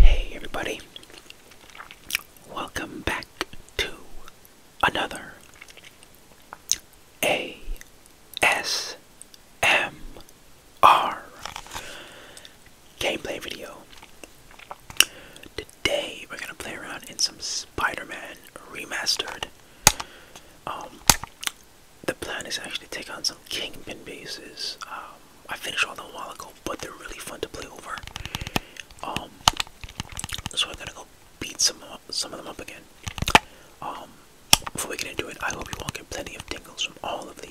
Hey, everybody, welcome back to another ASMR MR gameplay video. Today we're gonna play around in some Spider-Man remastered. Um, the plan is actually take on some Kingpin bases. Um, I finished all them a while ago, but they're really fun to play over. Um, why I'm gonna go beat some some of them up again. Um, before we get into it, I hope you all get plenty of tingles from all of the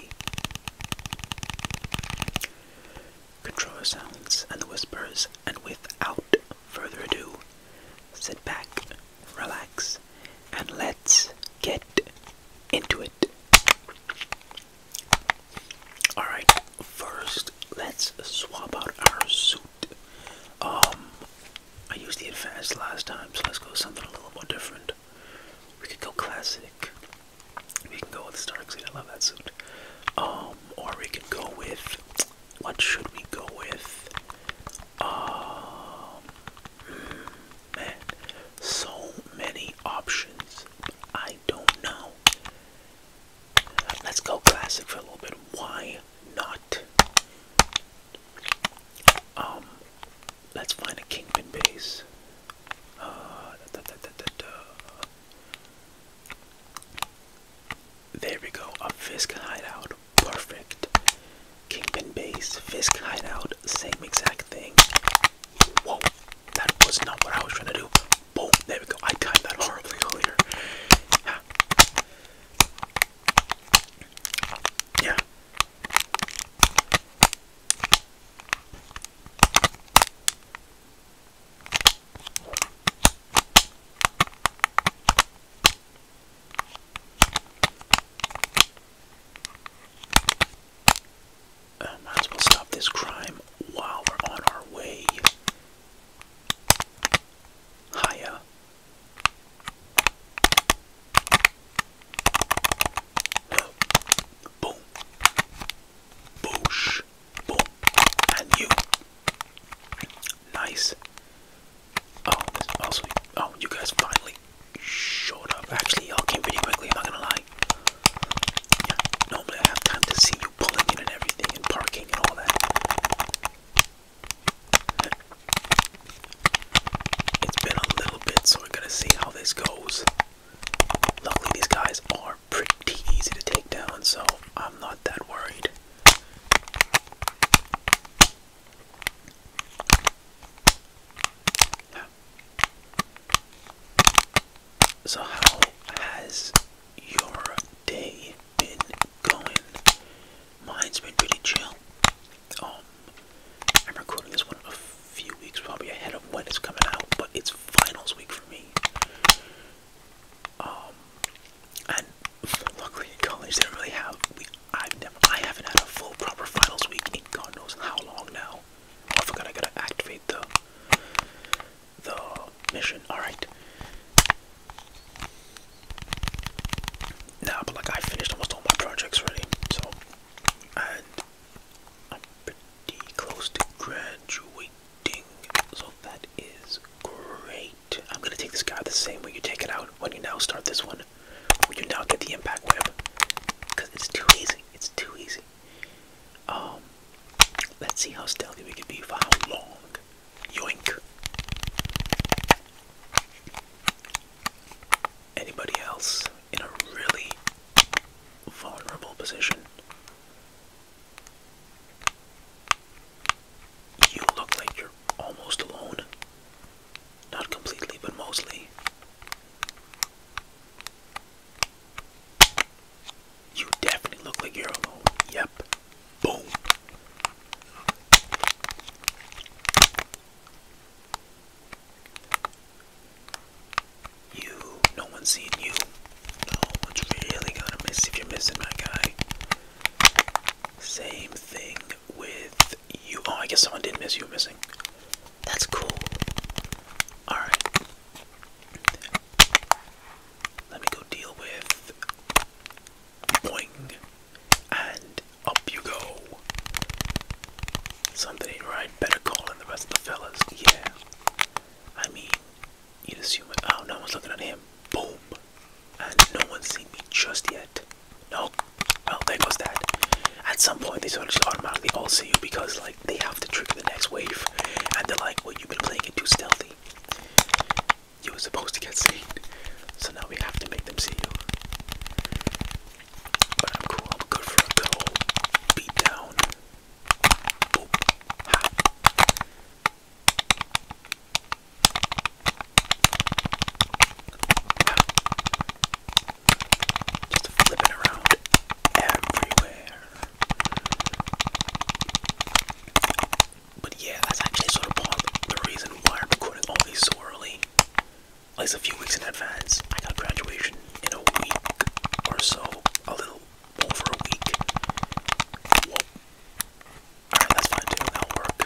controller sounds and the whispers, and without further ado, sit back, relax, and let's get into it. Alright, first let's swap out our suit. Um I used the advanced last time, so let's go something a little more different. We could go classic. We can go with Starkseid. I love that suit. Um, or we can go with. What should we go with? Um, man, so many options. I don't know. Let's go classic for a little bit. Why not? Um, let's find a kingpin base. Uh, da, da, da, There we go. A Fisk hideout. Perfect. Kingpin base, Fisk hideout, same exact thing. Whoa, that was not what I was trying to do. Boom, there we go. I timed that horribly earlier. yeah. Uh, might as well stop this crime while we're on our way. Hiya. Boom. Boosh. Boom. And you. Nice. Oh, oh, oh you guys finally showed up. Actually y'all came pretty quickly, I'm not gonna lie. normally I have time to see you pulling in and everything and parking and all that. It's been a little bit, so we're gonna see how this goes. Luckily, these guys are pretty easy to take down, so I'm not that worried. So, how has your day been going? Mine's been pretty chill. Um, I'm recording this one a few weeks probably ahead of when it's coming out, but it's finals week for me. Um, and luckily in college they don't really have. We, I've never, I haven't had a full proper finals week in God knows how long now. Oh, I forgot I gotta activate the the mission. All right. Nah, but like I finished almost all my projects already, so and I'm pretty close to graduating, so that is great. I'm gonna take this guy the same way you take it out when you now start this one. When you now get the impact web, because it's too easy. It's too easy. Um, let's see how stealthy we can be for how long. Yoink anybody else in a really vulnerable position. You look like you're almost alone. Not completely, but mostly. You definitely look like you're alone. Yep. Boom. You, no one's seeing you. No one's really gonna miss if you're missing my guy. Same thing with you. Oh, I guess someone did miss you missing. That's cool. Alright. Let me go deal with Boing. And up you go. Something ain't right. Better call in the rest of the fellas. Yeah. I mean, you'd assume Oh, no one's looking at him. Boom. And no one's seen me just yet. No. Well, there goes that. At some point, they sort just automatically all see you because, like, they have to trigger the next wave. And they're like, well, you've been playing it too stealthy. You were supposed to get seen. So now we have to make them see you. But I'm cool. I'm good for a good old beat down. Boop. Just flipping around everywhere. But yeah, that's actually sort of part of the reason why I'm recording all these so at least a few weeks in advance. I got graduation in a week or so, a little over a week. Alright, that's fine too. That'll work.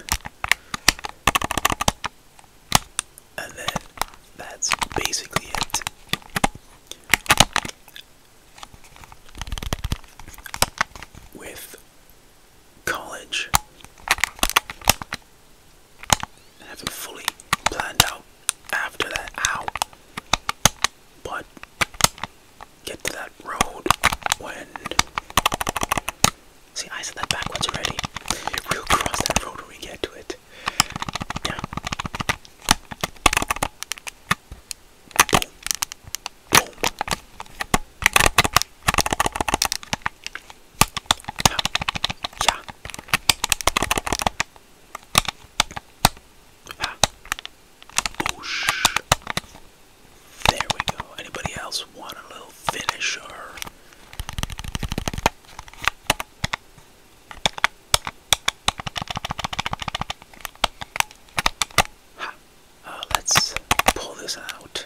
And then that's basically it. With college, haven't fully planned out after that how. But get to that road when. See, I said that backwards already. We'll cross that road when we get to it. Yeah. Yeah. Ha. Oosh. There we go. Anybody else want a little finisher? Uh, let's pull this out.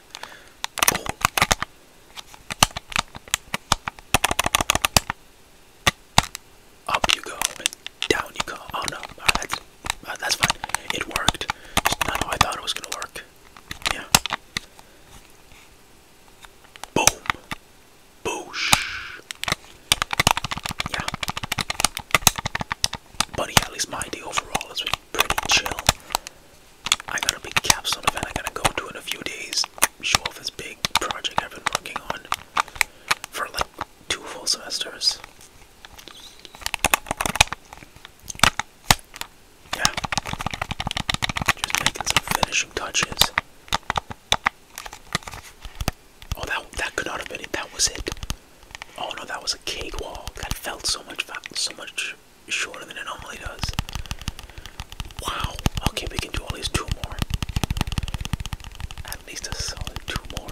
Up you go and down you go. Oh no, that's uh, that's fine. It worked. Just not I thought it was gonna work. Yeah. Boom. Boosh. Yeah. But at least my day overall has been pretty chill. I got a big capstone event I gotta go to in a few days show off this big project I've been working on for like two full semesters. Yeah. Just making some finishing touches. Oh, that that could not have been it. That was it. Oh no, that was a cake wall. That felt so much so much shorter than it normally does. Wow. Okay, we can do at least two more. At least a solid two more.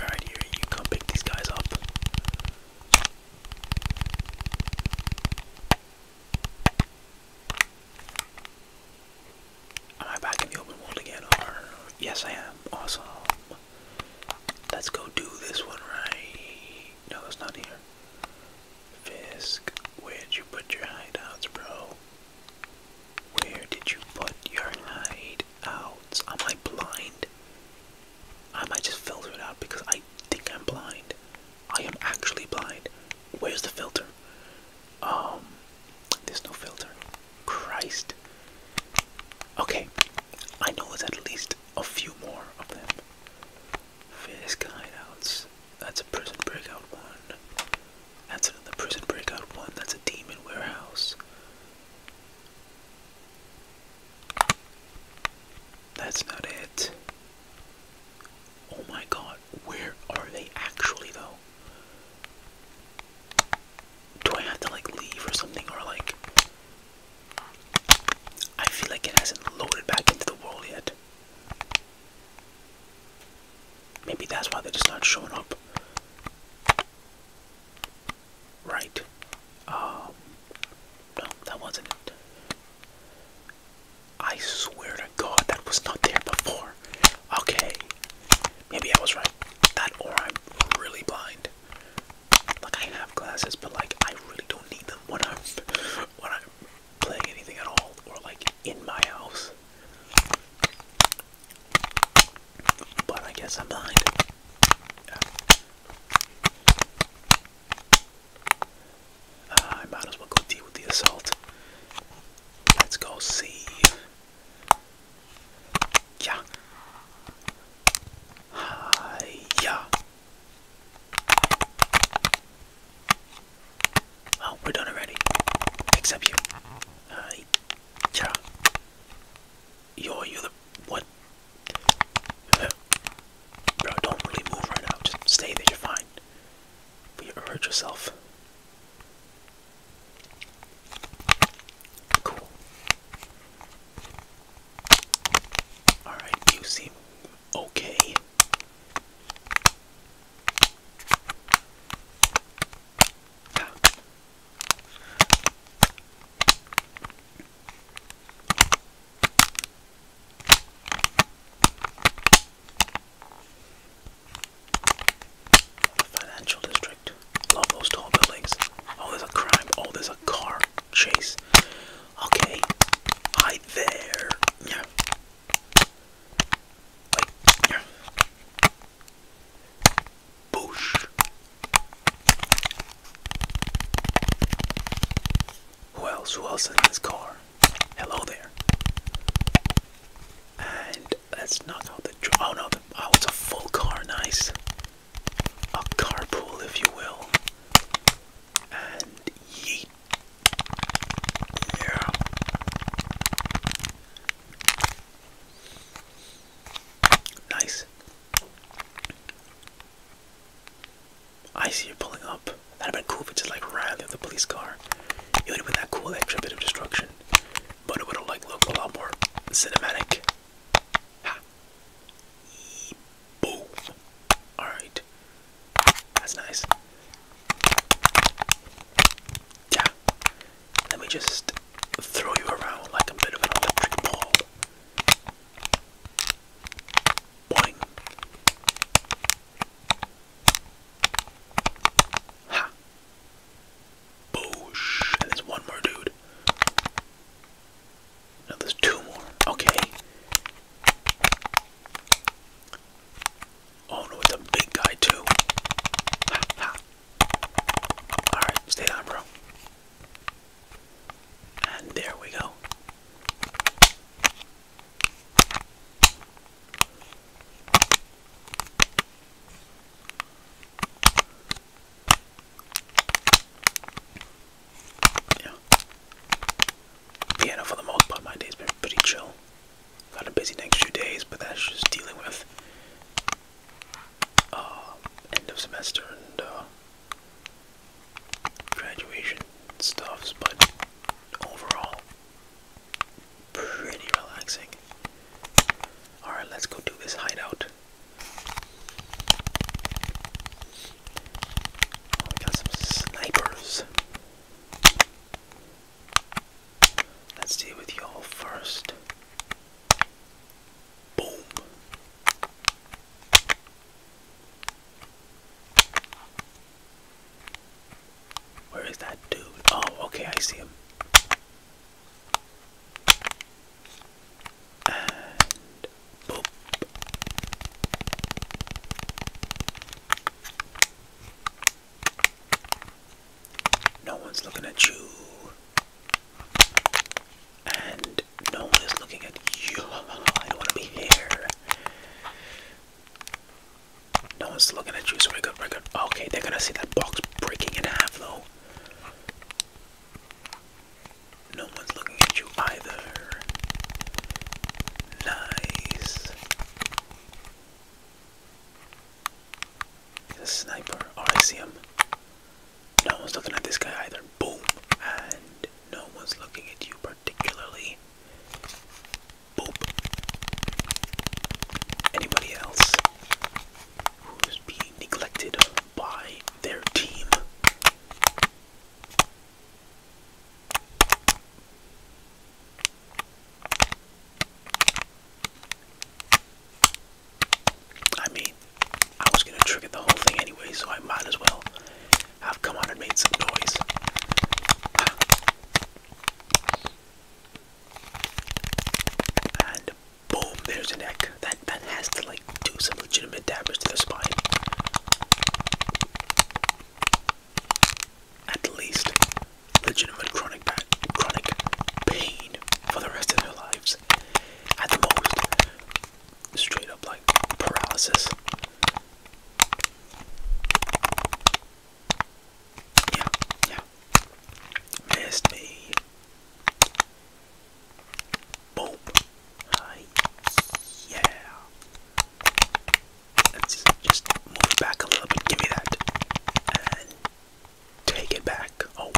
Alright, here, you come pick these guys up. Am I back in the open world again? yes, I am. Awesome. Let's go do this one right. No, it's not here. Fisk, where'd you put your hideouts, bro? Where did you put your hideouts? Am I blind? I might just filter it out because I think I'm blind. I am actually blind. Where's the filter? Um, there's no filter. Christ. Okay, I know there's at least a few more of them. Fisk hideouts. That's a prison breakout one. That's another prison breakout one. That's a demon warehouse. That's not it. Oh my god, where are they actually though? Do I have to like leave or something or like. I feel like it hasn't loaded back into the world yet. Maybe that's why they're just not showing up. Right. Um, no, that wasn't it. I swear to God, that was not there before. Okay. Maybe I was right. That or I'm really blind. Like I have glasses, but like I really don't need them when I'm when I'm playing anything at all or like in my house. But I guess I'm blind. Uh, I might as well go deal with the assault. Let's go see. Yeah. Hi. Yeah. Oh, we're done already. Except you. Uh, yeah. Yo, you're the what? bro, don't really move right now. Just stay there. You're fine. But you hurt yourself. Cool. Alright, you seem okay. Ah. Financial district. Love those tall buildings. Oh, there's a crime. Oh, there's a car chase. Okay. Hi there. Yeah. Who else? Who else in this car? Hello there. And let's knock out the. Oh no! oh, it's a full car. Nice. A carpool, if you will. And yeet. Yeah. Nice. I see you pulling up. That'd have been cool if it just like ran through the police car. It would have been that cool extra bit of destruction. But it would have like looked a lot more cinematic. Ha. Boom. Alright. That's nice. Yeah. Let me just throw you around like a bit of an electric ball. Boing. Ha. Boosh. And there's one more dude. No, there's two more. Okay. Oh no, it's a big guy too. All right, stay down, bro. And there we go. Yeah. Vienna for the most part my day's been pretty chill. Got a busy next few days, but that's just dealing with uh, end of semester and uh, graduation stuffs, but overall, pretty relaxing. Alright, let's go do this hideout. Oh, we got some snipers. Let's deal with y'all first. Boom. Where is that dude? Oh, okay, I see him. And boop. No one's looking at you. And no one looking at you. I don't want to be here. No one's looking at you, so we're good, we're good. Okay, they're gonna see that box breaking in half, though. No one's looking at you either. Nice. He's a sniper. Oh, I see him. No one's looking at this guy either. Boom. And no one's looking at you particularly. Boop. Anybody else who's being neglected by their team? I mean, I was gonna trigger the whole thing anyway, so I might as well have come on and made some noise. And boom, there's an neck. That that has to like do some legitimate damage to the spine at least legitimate chronic chronic pain for the rest of their lives. At the most, straight up like paralysis. Yeah, yeah. Missed me. Boom. yeah just move back a little Give me that. And take it back. Oh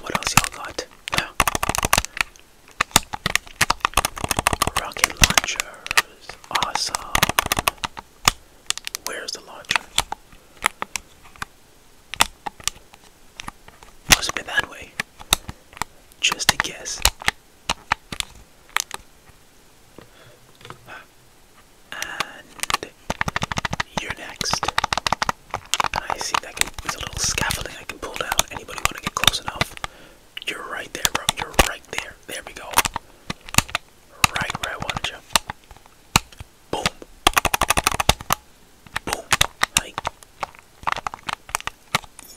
What else y'all got? Rocket launchers. Awesome. Where's the launcher? Must have that way. Just a guess. And you're next. I see that there's a little scaffolding I can pull down. Anybody want to get close enough? You're right there, bro. You're right there. There we go. Right where I wanted you. Boom. Boom. Like,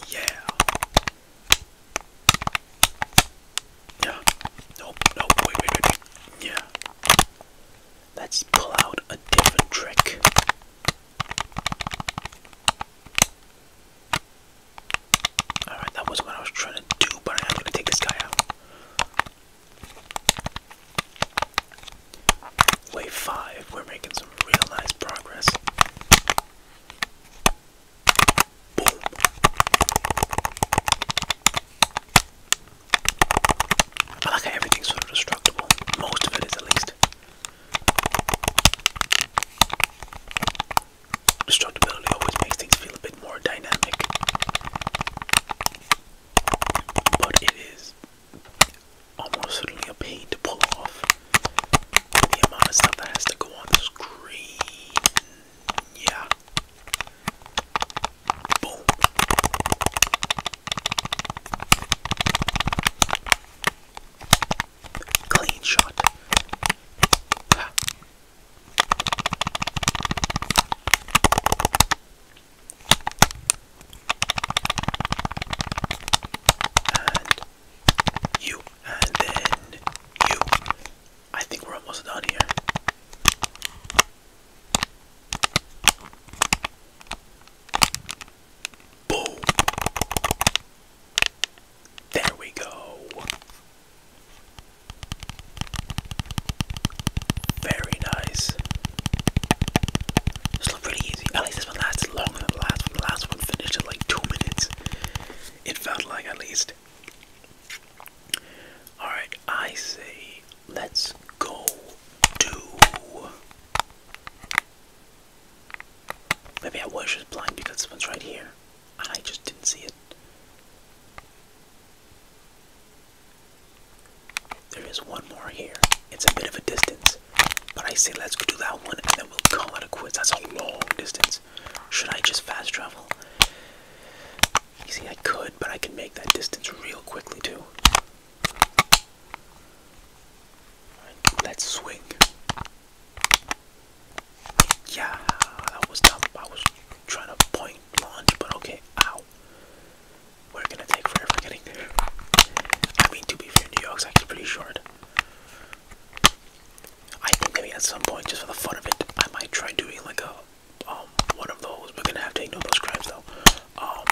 yeah. Yeah. Nope, nope, wait, wait, wait. Yeah. Let's pull out a different trick. Alright, that was what I was trying to do, but I'm gonna take this guy out. Wave 5, we're making some real nice progress. I like how everything's sort of destructible. Most of it is at least. Destructibility always makes things feel a bit more dynamic. But it is almost certainly a pain to pull off the amount of stuff that has to go on the screen. Yeah. Clean shot you, and then you. I think we're almost done here. Boom! There we go. Very nice. This looked pretty easy. At least this one lasted longer than the last one. The last one finished in like two minutes. It felt like at least. Alright, I say let's go do. Maybe I was just blind because someone's right here. And I just didn't see it. There is one more here. It's a bit of a distance. But I say let's go do that one and then we'll call it a quiz. That's a long distance. Should I just fast travel? You see, I could, but I can make that distance real quickly too. let's swing. Yeah, that was dumb. I was trying to point launch, but okay. Ow. We're gonna take forever getting there. I mean, to be fair, New York's actually pretty short. I think maybe at some point, just for the fun of it, I might try doing like a um, one of those. We're gonna have to ignore those crimes though. Um,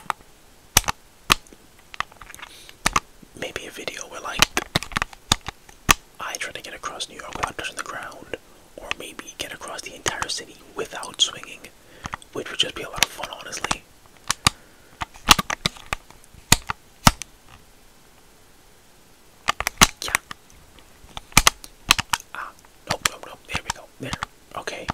maybe a video where like I try to get across New York without touching the ground, or maybe get across the entire city without swinging, which would just be a lot of fun, honestly. Yeah. Ah, nope, nope, nope. There we go. There. Okay.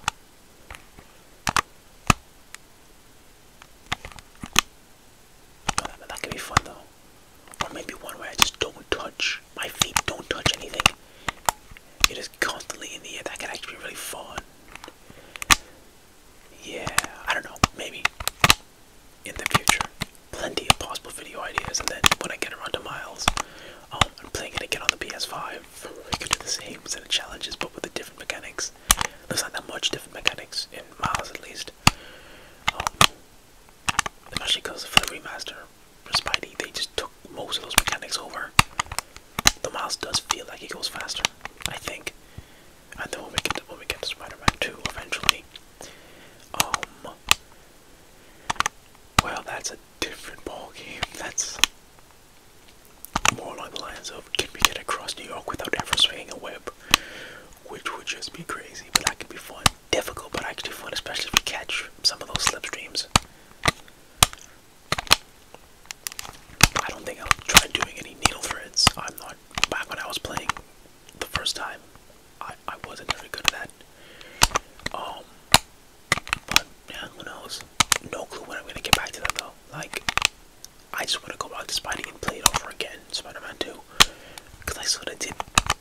that, that be fun though. Or maybe one where I just don't touch. My feet don't touch anything. It is constantly in the air. That could actually be really fun. Yeah, I don't know. Maybe in the future. Plenty of possible video ideas, and then when I get around to Miles, um, I'm playing it again on the PS5. We could do the same set of challenges, but with the different mechanics. There's not that much different mechanics in Miles, at least. Um, especially because for the remaster for Spidey, they just took most of those mechanics over. The Miles does feel like he goes faster, I think. And then when we get to, when we get Spider-Man 2 eventually, um, well, that's a different ball game. That's more along the lines of can we get across New York without ever swinging a web, which would just be crazy. But that could be fun. Difficult, but actually fun, especially if we catch some of those slipstreams. I don't think I'll try doing any needle threads. I'm not. Back when I was playing the first time, I, I wasn't very good at that. Um, but yeah, who knows? No clue when I'm gonna get back to that though. Like, I just want to go back to Spidey and play it over again, Spider-Man 2, because I sort of did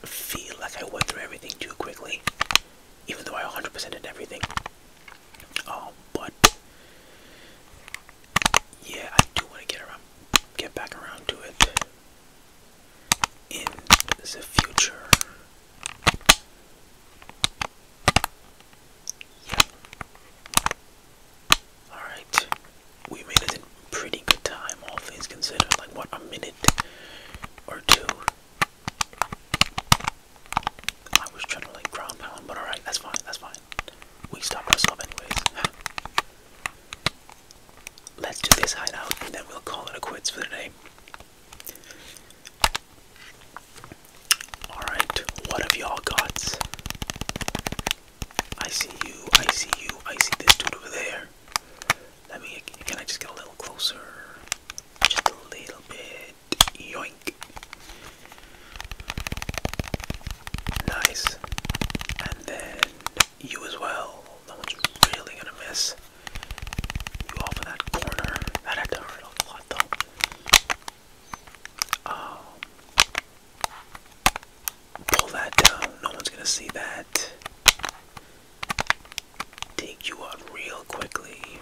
feel like I went through everything too quickly, even though I 100% did everything. Um, but yeah, I do want to get around, get back around to it in the future. Yeah. Alright. We made it in pretty good time, all things considered. Like, what, a minute or two? I was trying to, like, ground pound, but alright, that's fine, that's fine. We stopped ourselves anyways. let's do this hideout and then we'll call it a quits for today. Alright, what have y'all got? I see you, I see you, I see this dude over there. Let me, can I just get a little closer? Just a little bit. Yoink. Nice. And then you as well. No one's really gonna miss you off of that corner. That had to hurt Um, pull that down. No one's gonna see that. Take you out real quickly.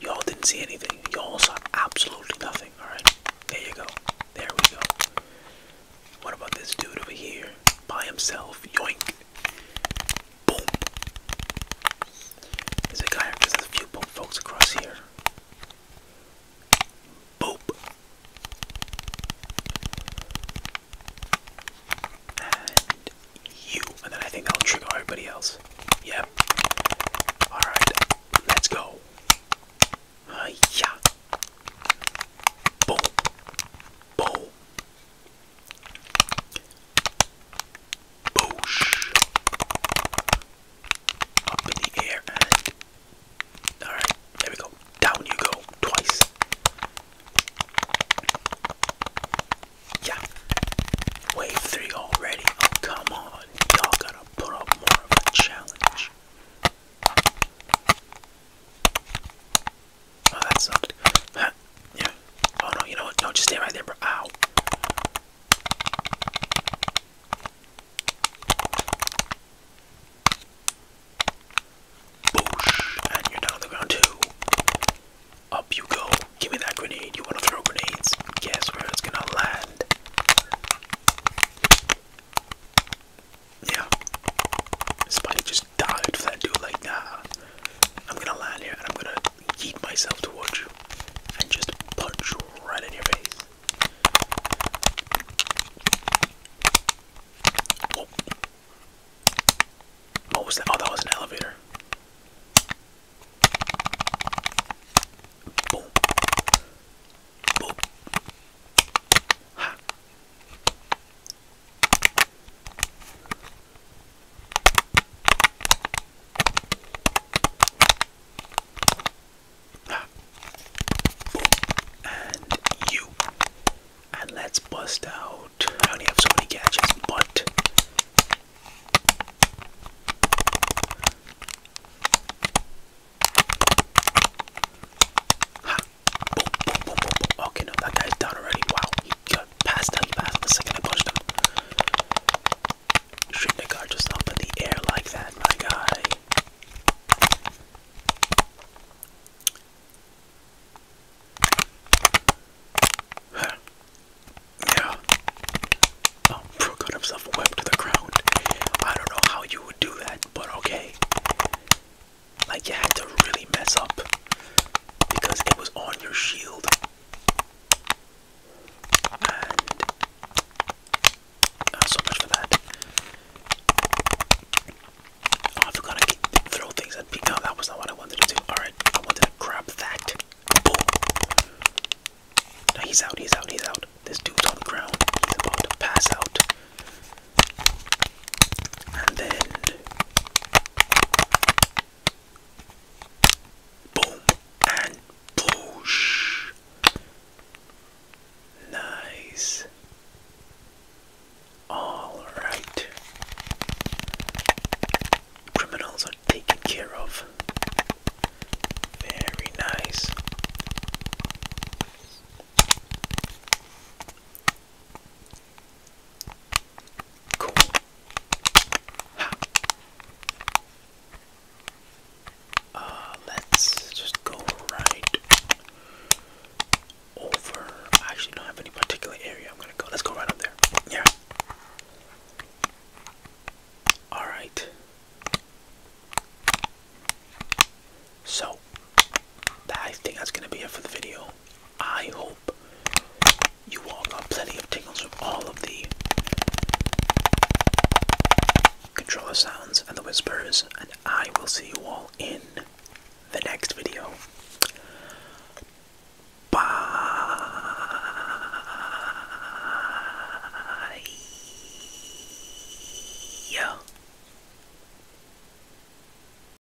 Y'all didn't see anything. Y'all saw absolutely nothing. All right, there you go. There we go. What about this dude over here? By himself. Yoink. Boom. There's a guy, there's a few folks across here. Boop. And you. And then I think I'll trigger everybody else. Yep. Alright. Let's go. Uh, yeah. Boom. Boosh. Up in the air Alright, there we go. Down you go. Twice. Yeah. Wave 3 already. Oh, come on. Y'all gotta put up more of a challenge. Oh, that sucked. Yeah. Oh no, you know what? No, just stay right there, bro. Ow. Boosh. And you're down on the ground too. Up you go. Give me that grenade. You wanna throw grenades? Guess where it's gonna land yeah, Spidey just dived for that dude like, nah, I'm gonna land here and I'm gonna heat myself towards you and just punch right in your face. What was that? Oh, that was an elevator. Boom. Boom. Ha. And you. And let's bust out. I only have so many gadgets, but. Okay, no, that guy's down already. Wow, he got passed out. He passed out the second I punched him. should just up in the air like that, my guy. Yeah. Oh, Bro himself webbed to the ground. I don't know how you would do that, but okay. Like you had to really mess up because it was on your shield. And uh, so much for that. Oh, I forgot I throw things at people. that was not what I wanted to do. Alright, I wanted to grab that. Now he's out, he's out, he's out. This dude's on the ground. He's about to pass out. And then boom and push. Nice. All right. Criminals are taken care of. Very nice. Cool. Ha. Uh, let's just go right over. I actually don't have any particular area I'm gonna go. Let's go right up there. Yeah. Alright. So, I think that's gonna be it for the video. I hope you all got plenty of tingles from all of the controller sounds and the whispers, and I will see you all in the next video. Bye.